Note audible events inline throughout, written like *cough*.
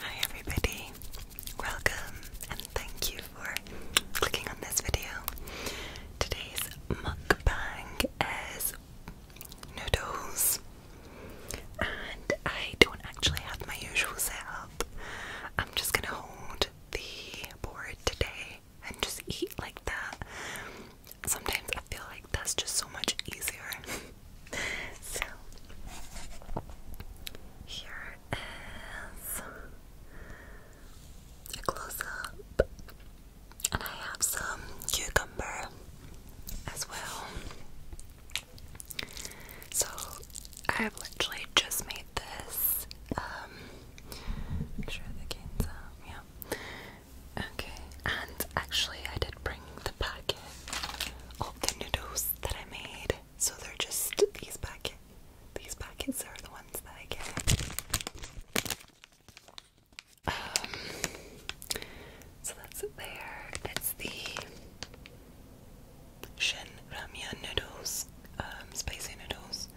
Hi everybody, welcome and thank you for clicking on this video. Today's mukbang is noodles and I don't actually have my usual setup. I'm just gonna hold the board today and just eat like that. Sometimes I feel like that's just so much easier. *laughs* so here is a close up, and I have some cucumber as well. So I've literally just made this. Um, make sure the game's yeah. Okay, and actually, I did bring the packet of the noodles that I made. So they're just these packets. These packets are the ones that I get. Um, so that's there. It's the Shin Ramyun noodles, um, spicy noodles.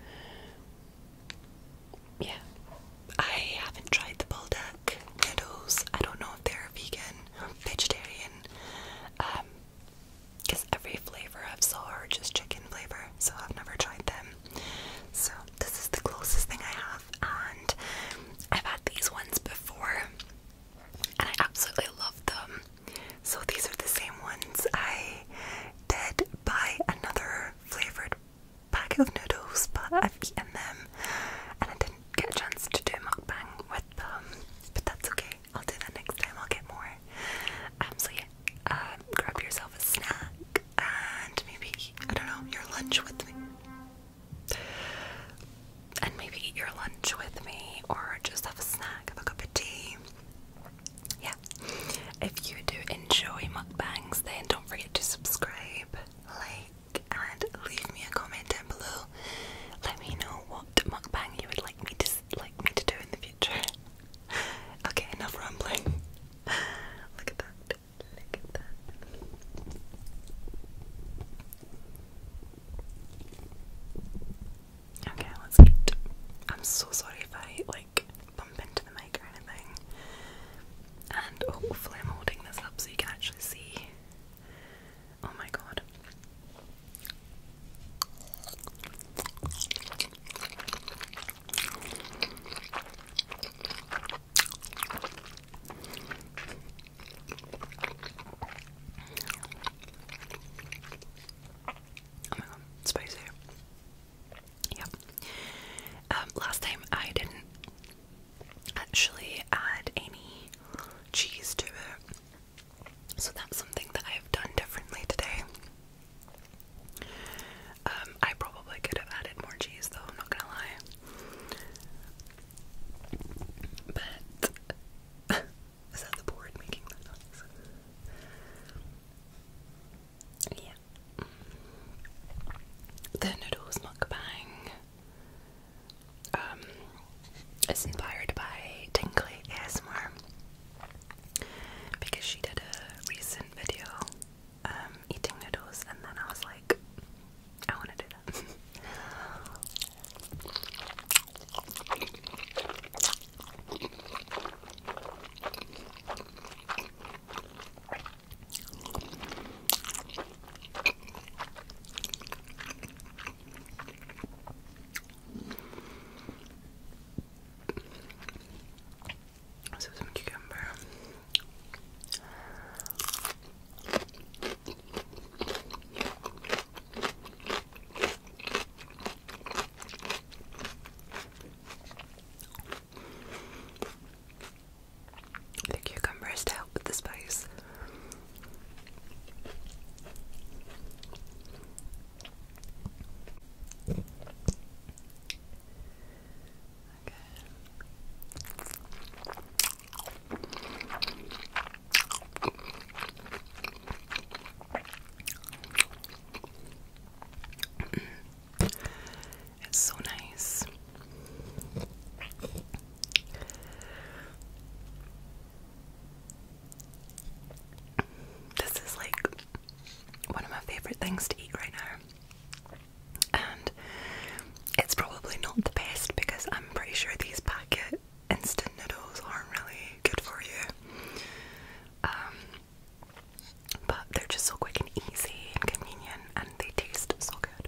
Yeah, I haven't tried the buldak noodles. I don't know if they're vegan, vegetarian, because um, every flavor I've saw chicken flavor, so I've never tried them. So this is the closest thing I have, and I've had these ones before, and I absolutely love them. So these are the same ones. I did buy another flavored packet of noodles, but I've eaten them, and I didn't get a chance to do a mukbang with them, but that's okay. I'll do that next time. I'll get more. Um, so yeah, um, grab yourself a snack and maybe eat, I don't know your lunch with me, and maybe eat your lunch with me, or just have a snack, have a cup of tea. Yeah. If you do enjoy mukbangs, then don't forget to subscribe, like, and leave me a comment down below. Let me know what what mukbang you would like me to like me to do in the future. *laughs* okay, enough rambling. *laughs* Look at that. Look at that. Okay, let's eat. I'm so sorry if I like bump into the mic or anything. And hopefully I'm holding this up so you can actually see Oh my god. Oh my god, spicy. Yep. Um, last time I didn't actually add any cheese to it. So that's something that I have done differently today. Um, I probably could have added more cheese though, I'm not gonna lie. But *laughs* is that the board making that noise? Yeah. The noodles mukbang um, is inspired by Tingly ASMR because she did a recent video um, eating noodles, and then I was like, I want to do that. *laughs* So some cucumber. The cucumber is to help with the spice. Okay. It's so nice. This is like one of my favorite things to eat right now. And it's probably not the best because I'm pretty sure these packet instant noodles aren't really good for you. Um, but they're just so quick and easy and convenient and they taste so good.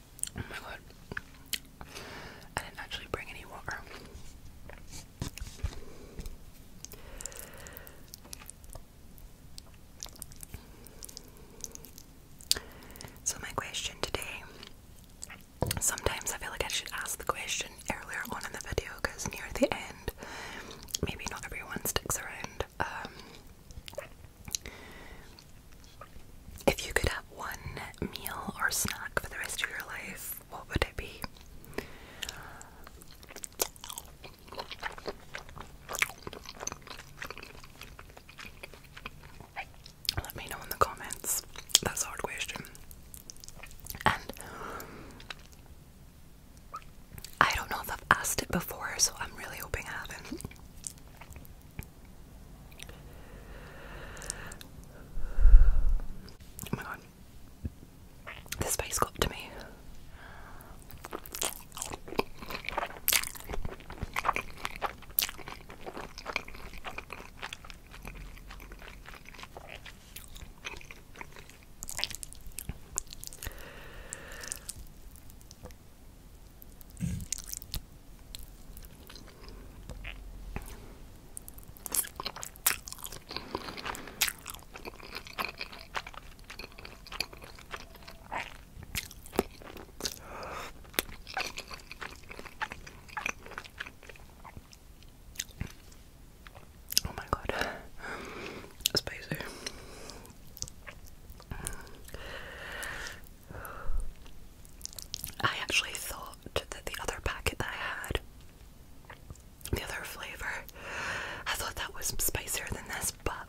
Oh my god. I didn't actually bring any water. So, my question today sometimes I feel like I should ask the question earlier on in the video because near the end, maybe not everyone sticks around. Um, if you could have one meal or snack for the rest of your life, what would it be? Let me know in the comments. That's a hard question. And I don't know if I've asked it before, so I'm really hoping I haven't. Oh my god. This face got to me. Oh my god, spicy. I actually thought that the other packet that I had, the other flavour, I thought that was spicier than this, but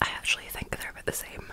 I actually think they're about the same.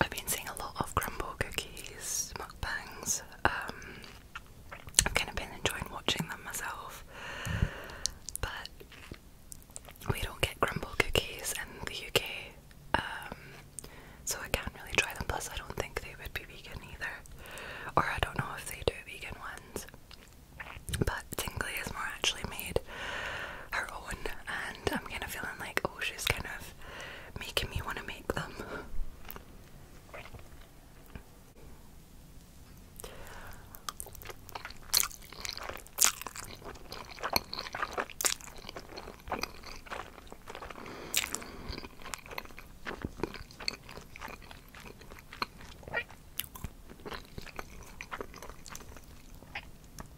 I've been seeing a lot of crumble cookies, mukbangs. Um, I've kind of been enjoying watching them myself, but we don't get crumble cookies in the UK, um, so I can't really try them. Plus, I don't think they would be vegan either, or I don't know if they do vegan ones. But Tingley is more actually made her own, and I'm kind of feeling like, oh, she's kind of making me want to make them.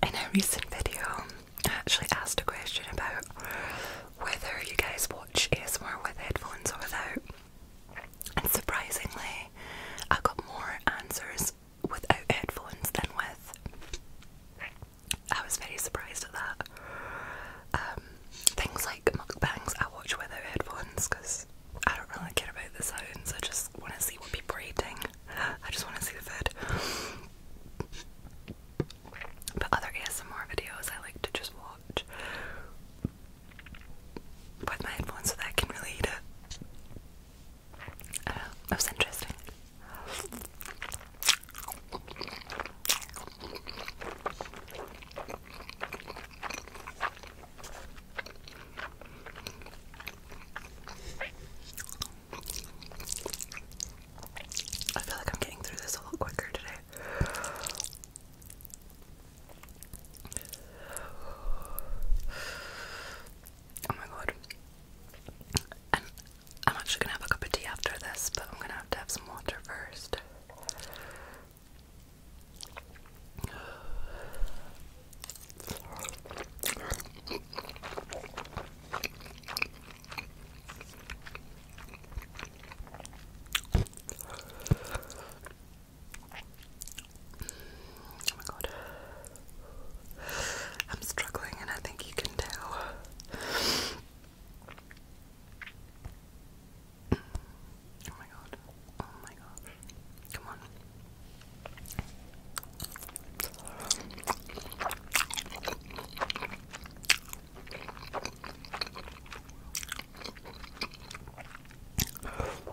In a recent video, I actually asked a question about whether you guys watch ASMR with headphones or without. And surprisingly, I got more answers without headphones than with. I was very surprised at that. Um, things like mukbangs I watch without headphones because I don't really care about the sounds, I just want to see what people are eating. *sighs* I just want to see the food. But other ASMR videos I like to just watch with my headphones so that I can really eat it. Uh, that was interesting. I feel like I'm getting through this a lot quicker today. Oh my god. I'm, I'm actually gonna have a cup of tea after this, but I'm gonna have to have some water first. Oh my god. I'm struggling, and I think you can tell. Oh my god. Oh my gosh. Come on.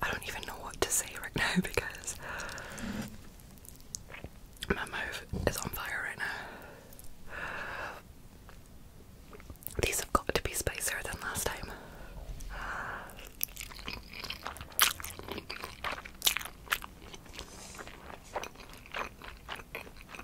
I don't even know what to say right *laughs* now because my mouth is on fire right now. These have got to be spicier than last time.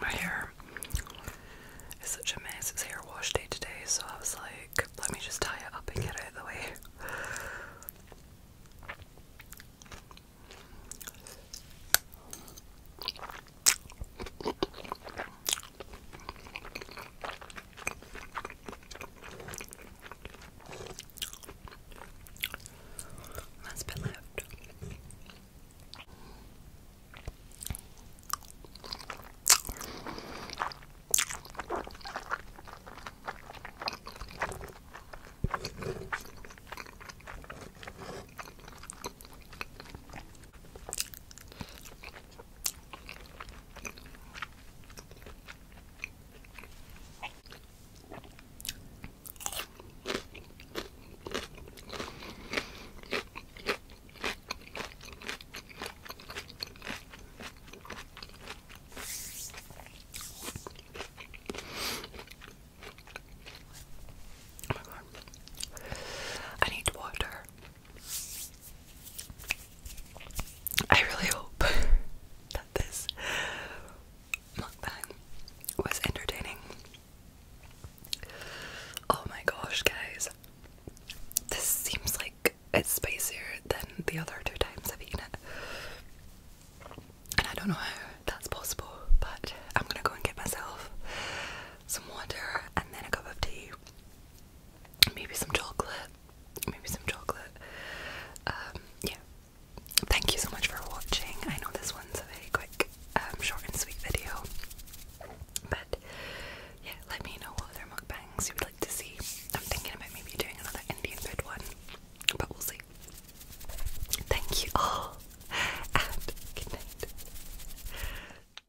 My hair is such a mess. It's hair wash day today, so I was like, let me just tie it up and get out of the way. Last bit left. Oh my I need water. I really hope *laughs* that this mukbang was entertaining. Oh my gosh, guys. This seems like it's spicier than the other two times I've eaten it. And I don't know how that's possible, but I'm gonna go and get myself some water and then a cup of tea maybe some chocolate, maybe some chocolate. Um, yeah. Thank you so much for watching. I know this one's a very quick, um, short and sweet video, but yeah, let me know what other mukbangs you would like to see. I'm thinking about maybe doing another Indian food one, but we'll see. Thank you all, *laughs* and good